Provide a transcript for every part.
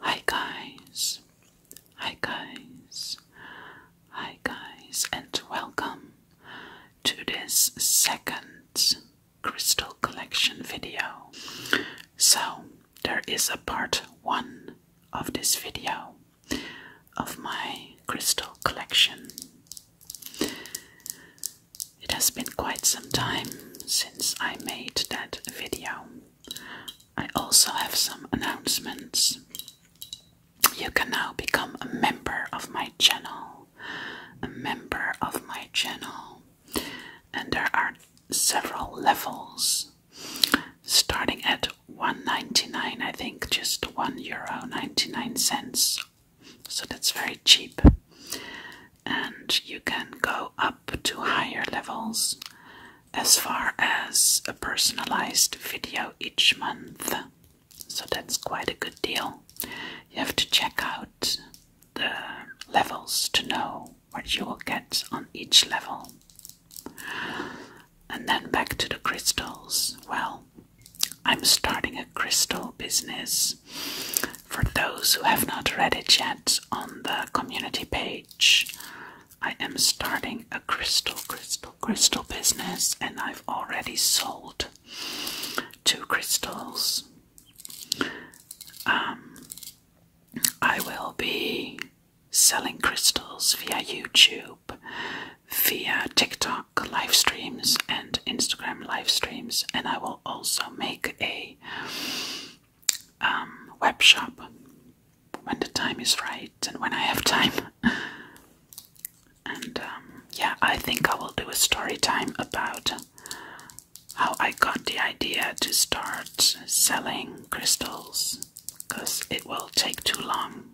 Hi guys, hi guys, hi guys, and welcome to this second crystal collection video. So, there is a part one of this video of my crystal collection. It has been quite some time since I made that video. I also have some announcements. You can now become a member of my channel. A member of my channel. And there are several levels starting at 1.99 I think just 1 euro 99 cents so that's very cheap and you can go up to higher levels as far as a personalized video each month. So that's quite a good deal. You have to check out the levels to know what you will get on each level. And then back to the crystals. Well, I'm starting a crystal business. For those who have not read it yet on the community page, I am starting a crystal, crystal, crystal business, and I've already sold two crystals. Um, I will be selling crystals via YouTube, via TikTok live streams, and Instagram live streams, and I will also make a um, web shop when the time is right and when I have time. and um, yeah, I think I will do a story time about how I got the idea to start selling crystals because it will take too long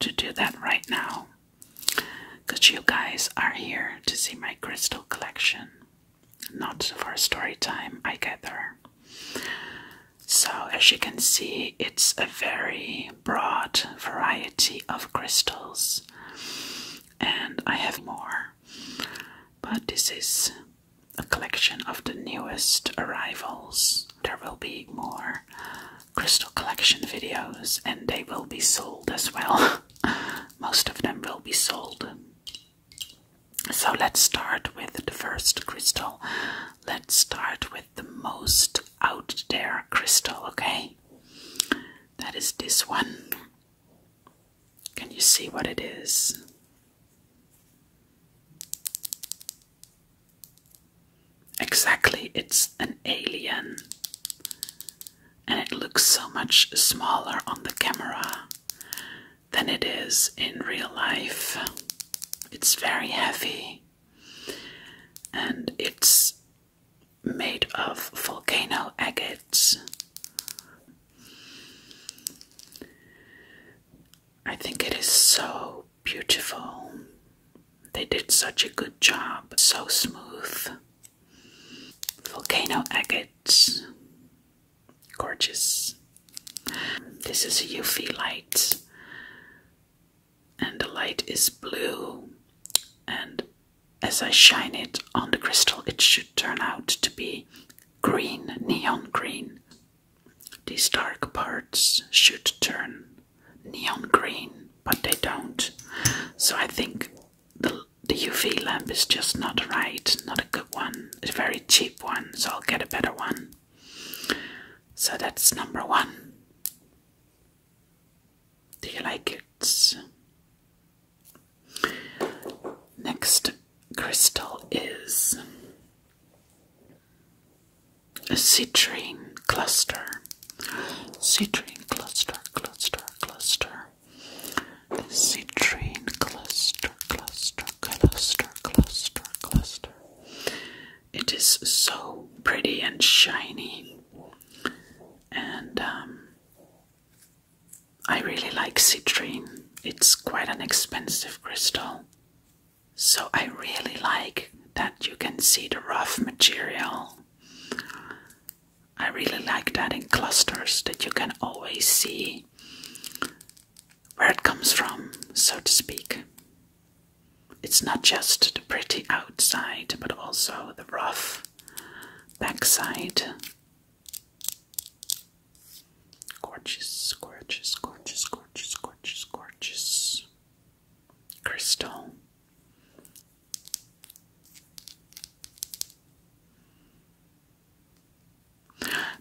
to do that right now. Because you guys are here to see my crystal collection not for story time, I gather. So, as you can see, it's a very broad variety of crystals, and I have more. But this is a collection of the newest arrivals. There will be more crystal collection videos, and they will be sold as well. Most of them will be sold. So let's start with the first crystal. Let's start with the most out there crystal, okay? That is this one. Can you see what it is? Exactly, it's an alien. And it looks so much smaller on the camera than it is in real life. It's very heavy and it's made of volcano agates. I think it is so beautiful. They did such a good job, so smooth. Volcano agates Gorgeous. This is a UV light, and the light is blue. And as I shine it on the crystal, it should turn out to be green, neon green. These dark parts should turn neon green, but they don't. So I think the the UV lamp is just not right, not a good one. It's a very cheap one, so I'll get a better one. So that's number one. Do you like it? Next crystal is a citrine cluster. Citrine cluster, cluster, cluster citrine cluster, cluster, cluster, cluster, cluster. It is so pretty and shiny, and um, I really like citrine. It's quite an expensive crystal, so I really like that you can see the rough material I really like that in clusters that you can always see where it comes from, so to speak. It's not just the pretty outside, but also the rough backside. Gorgeous, gorgeous, gorgeous, gorgeous, gorgeous, gorgeous. Crystal.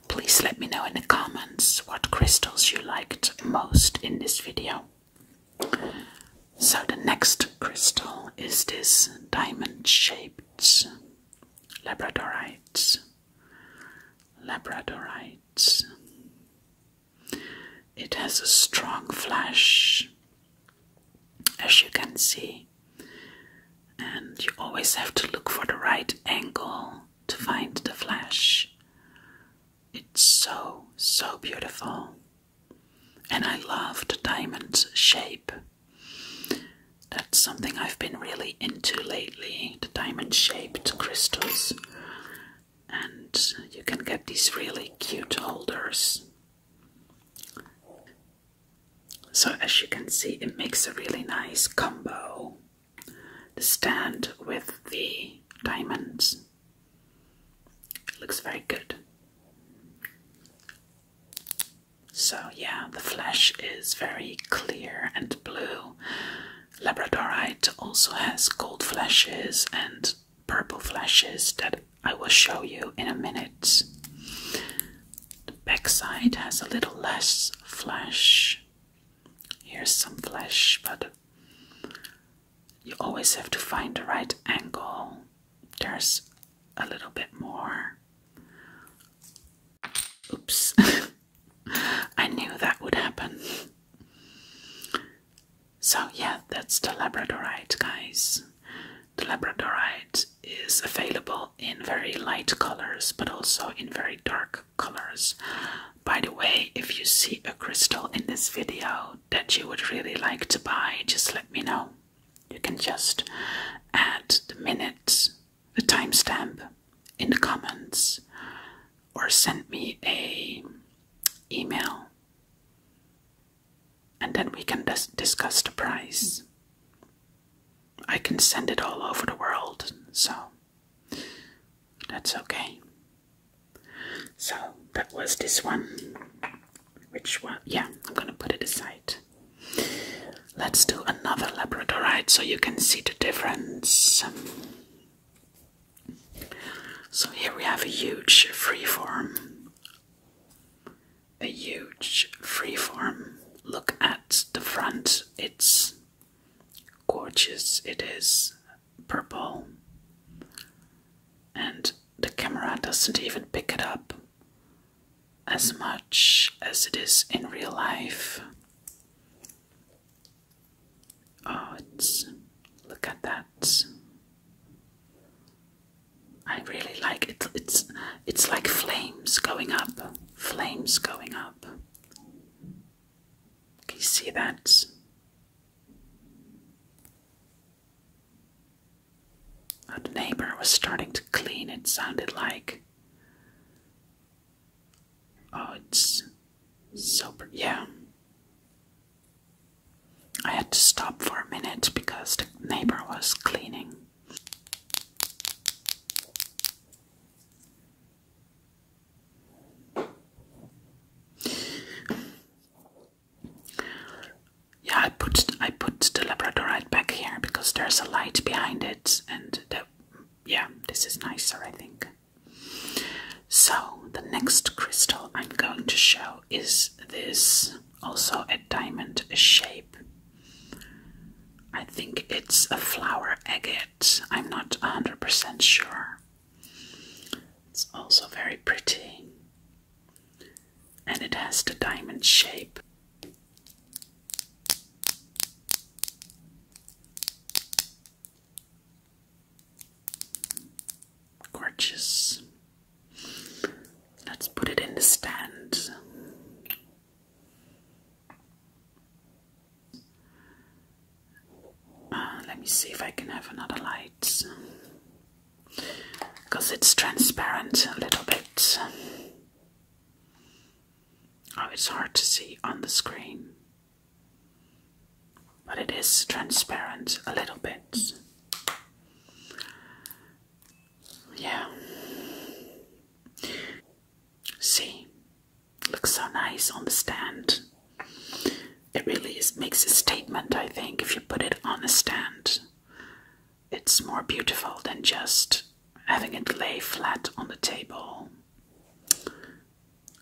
Please let me know in the comments what crystals you liked most in this video. So the next crystal is this diamond-shaped labradorite. Labradorite. It has a strong flash, as you can see. And you always have to look for the right angle to find the flash. It's so, so beautiful. And I love the diamond shape. That's something I've been really into lately the diamond shaped crystals. And you can get these really cute holders. So, as you can see, it makes a really nice combo the stand with the diamonds. looks very good. So, yeah, the flash is very clear and blue. Labradorite also has gold flashes and purple flashes that I will show you in a minute. The backside has a little less flesh. Here's some flesh, but you always have to find the right angle. There's a little bit more. Oops. I knew that would happen. So, yeah, that's the Labradorite, guys. The labradorite is available in very light colors but also in very dark colors. By the way, if you see a crystal in this video that you would really like to buy, just let me know. You can just add the minutes, the timestamp in the comments or send me a email and then we can dis discuss the price. I can send it all over the world, so that's okay. So that was this one. Which one? Yeah, I'm gonna put it aside. Let's do another labradorite so you can see the difference. So here we have a huge freeform a huge freeform look at the front. It's gorgeous, it is purple, and the camera doesn't even pick it up as much as it is in real life. Oh, it's look at that. I really like it. It's it's like flames going up, flames going up. Can you see that? The neighbor was starting to clean. It sounded like. Oh, it's so. Yeah. I had to stop for a minute because the neighbor was cleaning. Yeah, I put I put the labradorite back here because there's a light behind it, and the, yeah, this is nicer, I think. So the next crystal I'm going to show is this also a diamond shape. I think it's a flower agate. I'm not 100% sure. It's also very pretty. And it has the diamond shape. Gorgeous. Let's put it in the stand. Uh, let me see if I can have another light because it's transparent a little bit. Oh, it's hard to see on the screen, but it is transparent a little bit. Yeah. See, looks so nice on the stand. It really makes a statement, I think, if you put it on a stand. It's more beautiful than just having it lay flat on the table.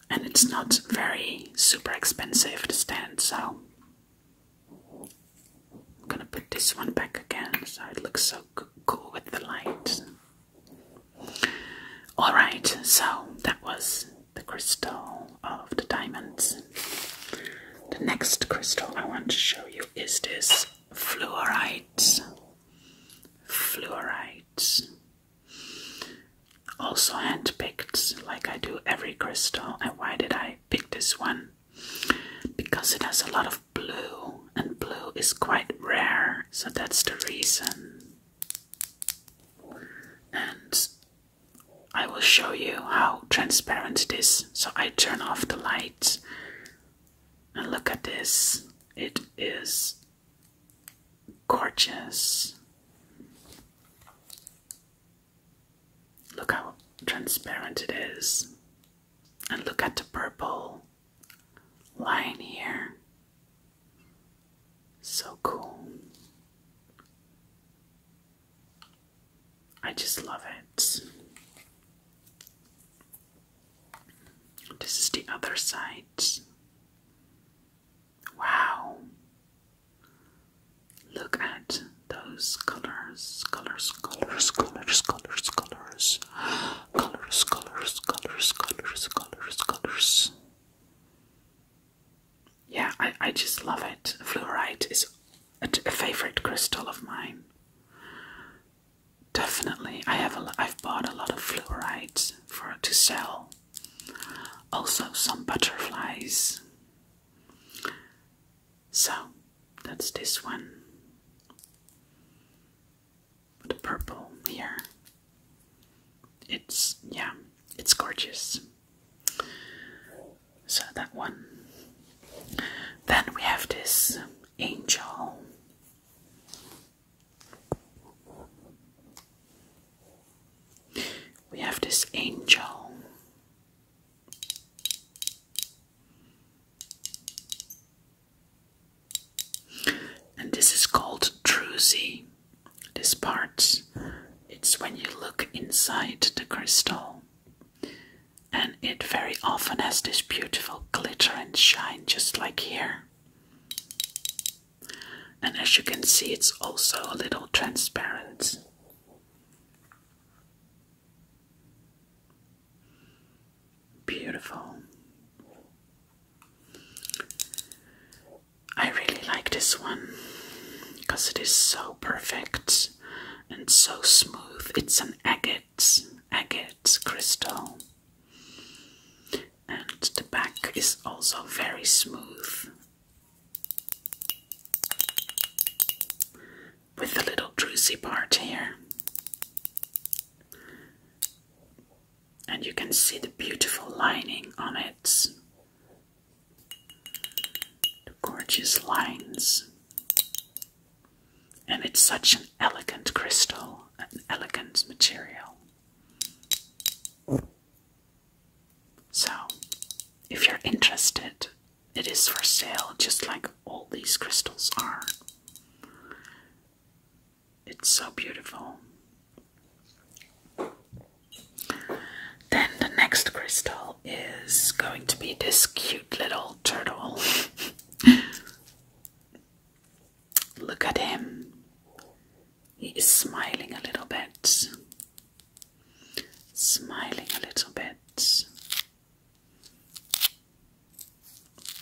And it's not very super expensive to stand, so I'm gonna put this one back again so it looks so cool with the light. Alright, so that was the crystal of the diamonds. The next crystal I want to show you is this fluorite. Fluorite. Also handpicked, like I do every crystal. And why did I Pick this one because it has a lot of blue, and blue is quite rare, so that's the reason. And I will show you how transparent it is. So I turn off the lights and look at this. It is gorgeous. Look how transparent it is. And look at the purple line here. So cool. I just love it. This is the other side. Wow. Look at those colors, colors, colors, colors, colors, colors, colors, colors, colors, colors, colors, colors. Yeah, I, I just love it. Fluorite is a, favorite crystal of mine. Definitely, I have a, I've bought a lot of fluorites for to sell. Also, some butterflies. So that's this one. The purple here. It's yeah, it's gorgeous. So that one. Then we have this angel. We have this angel and this is called druzy. This part, it's when you look inside the crystal, and it very often has this beautiful glitter and shine, just like here. And as you can see, it's also a little transparent. Beautiful. I really like this one because it is so perfect and so smooth. It's an agate, agate crystal. And the back is also very smooth with the little druzy part here. And you can see the beautiful lining on it. The gorgeous lines. And it's such an elegant crystal, an elegant material. So, if you're interested, it is for sale just like all these crystals are. It's so beautiful. Then the next crystal is going to be this cute little turtle. Look at him. He is smiling a little bit. Smiling a little bit.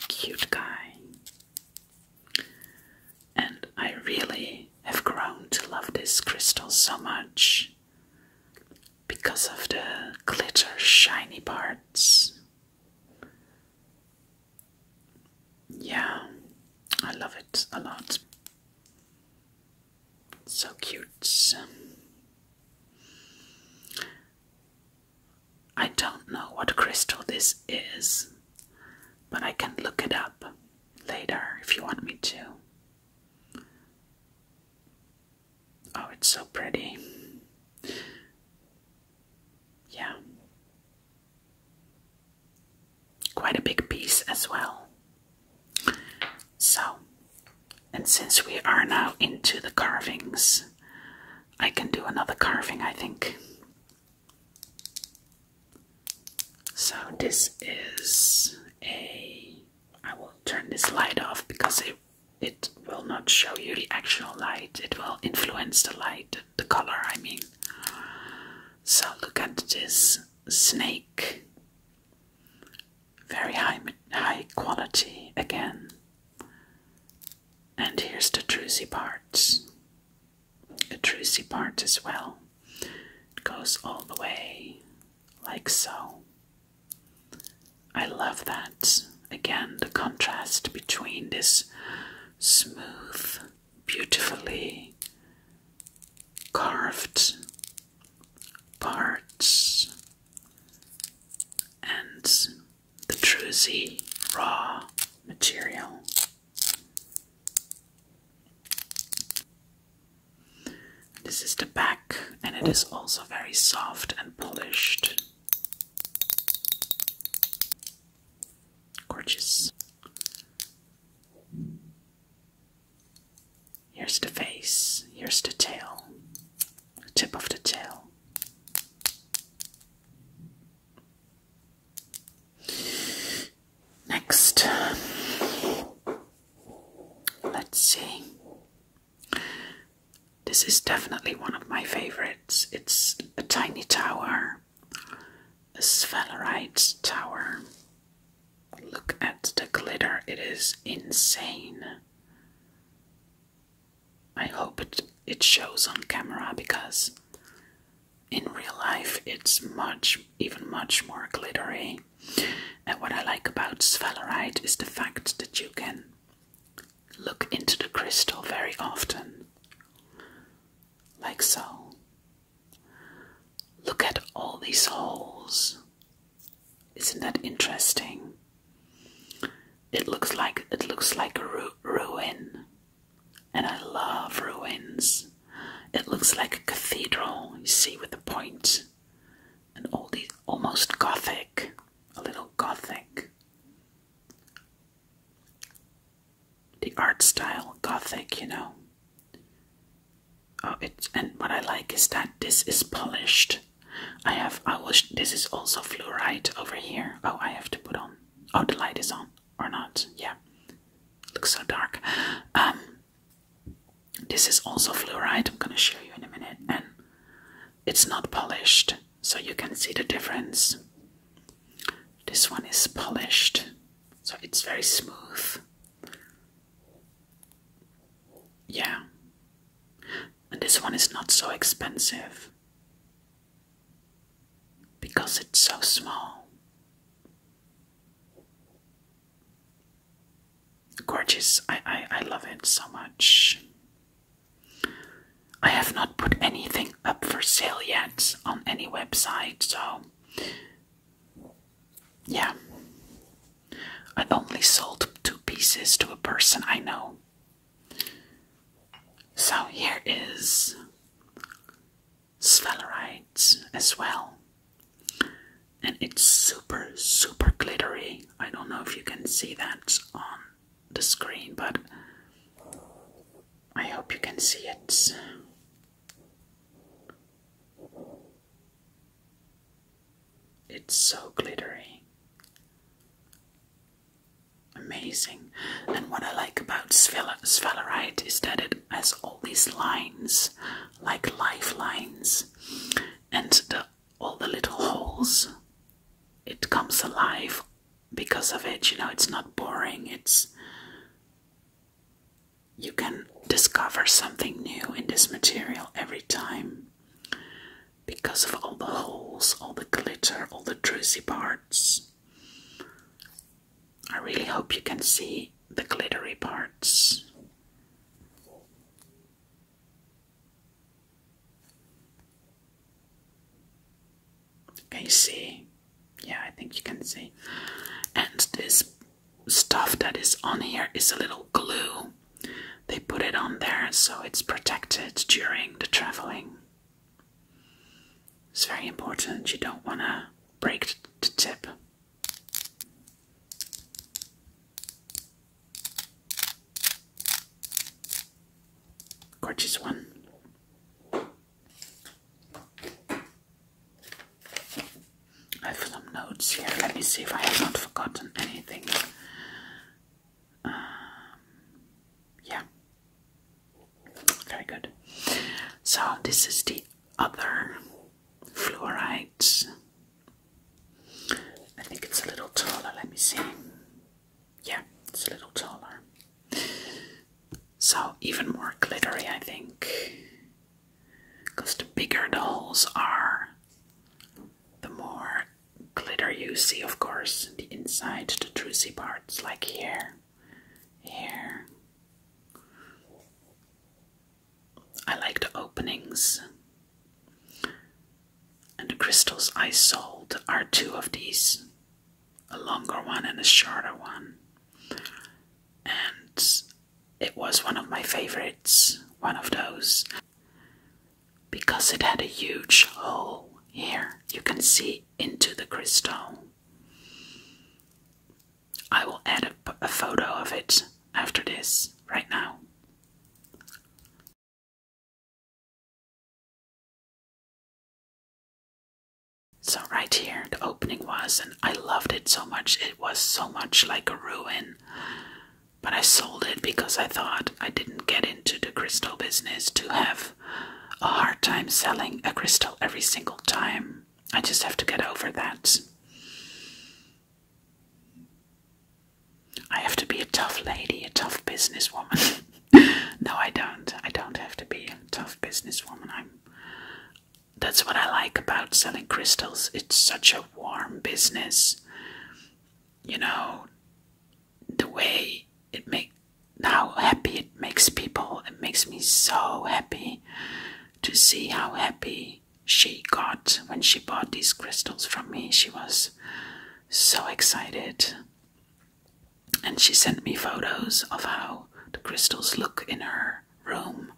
Cute guy. And I really have grown to love this crystal so much because of the glitter shiny parts. Yeah, I love it a lot. So cute. I don't know what crystal this is, but I can look it up later if you want me to. Oh, it's so pretty. Yeah quite a big piece as well. So, and since we are now into the carvings, I can do another carving, I think. So, this is a. I will turn this light off because it, it will not show you the actual light, it will influence the light, the color, I mean. So, look at this snake. Very high, high quality again. And here's the truzy parts. the truzy part as well. It goes all the way like so. I love that. Again, the contrast between this smooth beautifully carved parts and the druzy raw material. This is the back, and it is also very soft and polished. Gorgeous. Here's the face, here's the tail, tip of the tail. Next, let's see. This is definitely one of my favorites. It's a tiny tower Tower, the Svalrite Tower. Look at the glitter, it is insane. I hope it, it shows on camera because in real life it's much, even much more glittery. And what I like about Svalorite is the fact that you can look into the crystal very often, like so. Look at all these holes. Isn't that interesting? It looks like it looks like a ruin, and I love ruins. It looks like a cathedral, you see, with the points and all these almost gothic, a little gothic the art style, gothic, you know. Oh, it's and what I like is that this is polished. I have I will. This is also fluorite over here. Oh, I have to put on. Oh, the light is on or not? Yeah, looks so dark. Um, this is also fluorite. I'm gonna show you in a minute, and it's not polished, so you can see the difference. This one is polished so it's very smooth. Yeah, and this one is not so expensive because it's so small. Gorgeous, I, I, I love it so much. I have not put anything up for sale yet on any website, so yeah. I only sold two pieces to a person I know. So here is sphalerite as well. And it's super, super glittery. I don't know if you can see that on the screen, but I hope you can see it. It's so glittery. Amazing. And what I like about sphalerite is that it has all these lines, like lifelines, and all the little holes. It comes alive because of it, you know, it's not boring, it's you can discover something new in this material every time because of all the holes, all the glitter, all the juicy parts. I really hope you can see the glittery parts. Can you see? Yeah, I think you can see. And this stuff that is on here is a little glue. They put it on there so it's protected during the traveling. It's very important. You don't want to break the tip. Gorgeous one. I have some notes here. Let me see if I have not forgotten anything. Um, yeah. Very good. So, this is the other fluoride. I think it's a little taller. Let me see. Yeah, it's a little taller. So, even more glittery, I think. Because the bigger the holes are, the more glitter you see, of course, the inside, the juicy parts, like here, here. I like the openings. And the crystals I sold are two of these a longer one and a shorter one. And it was one of my favorites, one of those, because it had a huge hole here. You can see into the crystal. I will add a, a photo of it after this, right now. So, right here, the opening was, and I loved it so much. It was so much like a ruin. But I sold it because I thought I didn't get into the crystal business to have a hard time selling a crystal every single time. I just have to get over that. I have to be a tough lady, a tough businesswoman. no, I don't. I don't have to be a tough businesswoman. I'm. That's what I like about selling crystals. It's such a warm business. You know, the way it make how happy it makes people. It makes me so happy to see how happy she got when she bought these crystals from me. She was so excited and she sent me photos of how the crystals look in her room.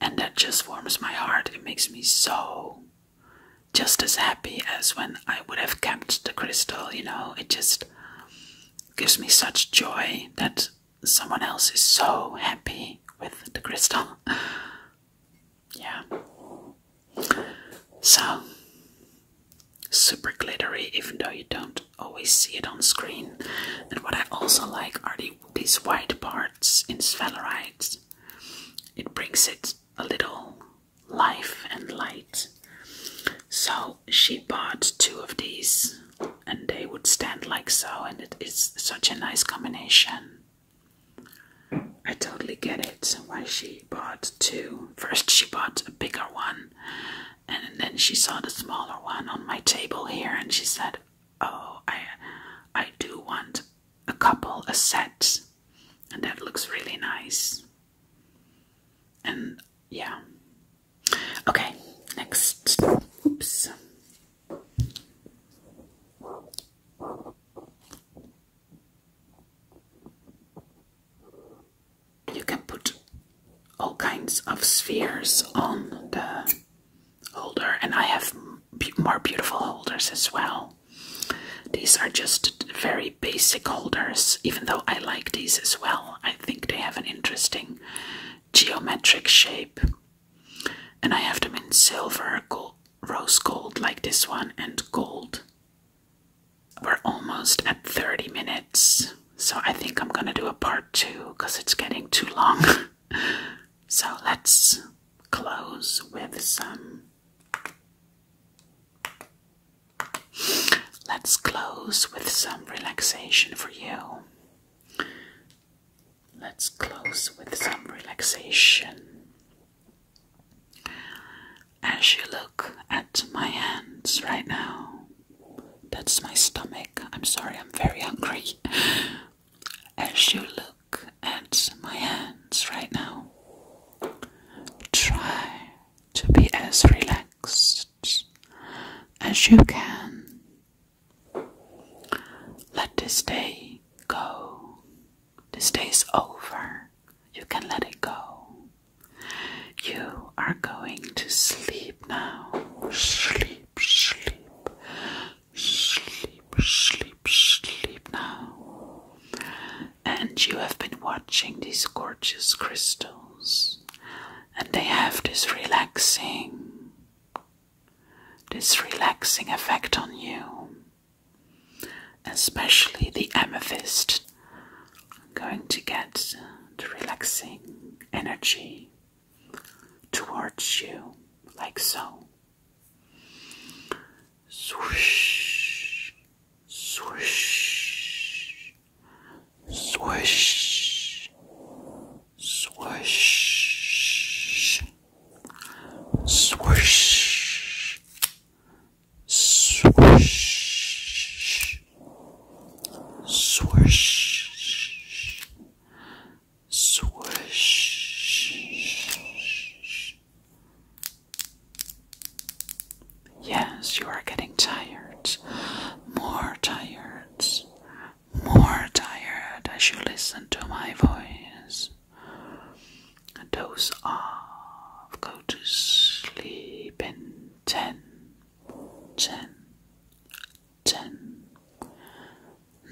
And that just warms my heart. It makes me so just as happy as when I would have kept the crystal, you know. It just gives me such joy that someone else is so happy with the crystal. yeah. So super glittery, even though you don't always see it on screen. And what I also like are these white parts in sphalerite. It brings it a little life and light. So she bought two of these and they would stand like so and it is such a nice combination. I totally get it why she bought two. First she bought a bigger one and then she saw the smaller one on my table here and she said, Oh, I I do want a couple, a set. And that looks really nice. And yeah. Okay, next. Oops you can put all kinds of spheres on the holder, and I have more beautiful holders as well. These are just very basic holders, even though I like these as well. I think they have an interesting geometric shape. And I have them in silver, rose gold, like this one, and gold. We're almost at 30 minutes, so I think I'm gonna do a part two because it's getting too long. so let's close with some. Let's close with some relaxation for you. Let's close with some relaxation. As you look at my hands right now, that's my stomach. I'm sorry, I'm very hungry. As you look at my hands right now, try to be as relaxed as you can. Let this day go. This day is over. You can let it go. You are going to sleep now. Sleep, sleep, sleep, sleep, sleep now. And you have been watching these gorgeous crystals, and they have this relaxing, this relaxing effect on you especially the amethyst. I'm going to get the relaxing energy towards you, like so. Swish, swish, swish, swish, swish. Swish, swish, swish. Yes, you are getting tired. More tired. More tired as you listen to my voice. Those are of go to sleep in ten, ten, ten,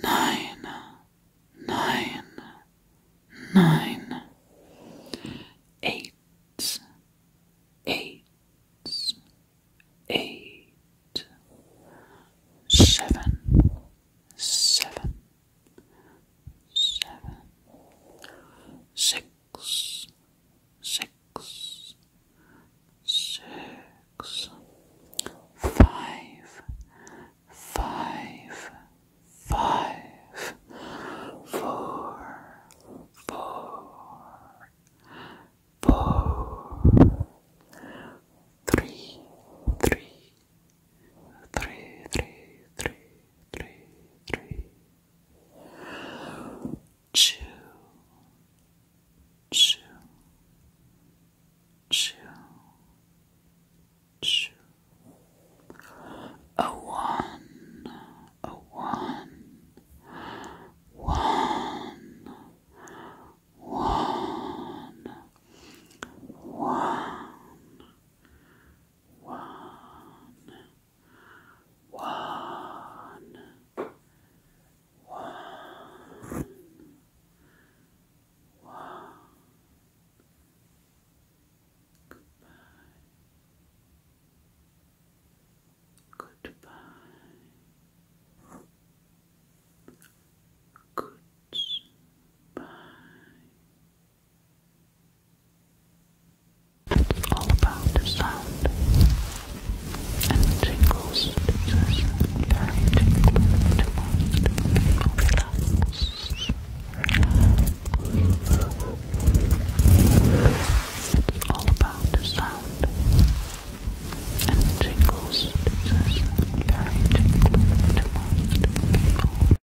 nine, nine, nine, eight, eight, eight, seven, seven seven, six, six, six, five, five, five, four, four, four, three, three, three, three, three, three, three, two, two, two, two, a one, a one, one, one, one. One. Goodbye. Goodbye. Goodbye all about sound and tingles. It's all about the sound and the tingles. This is very tingling to most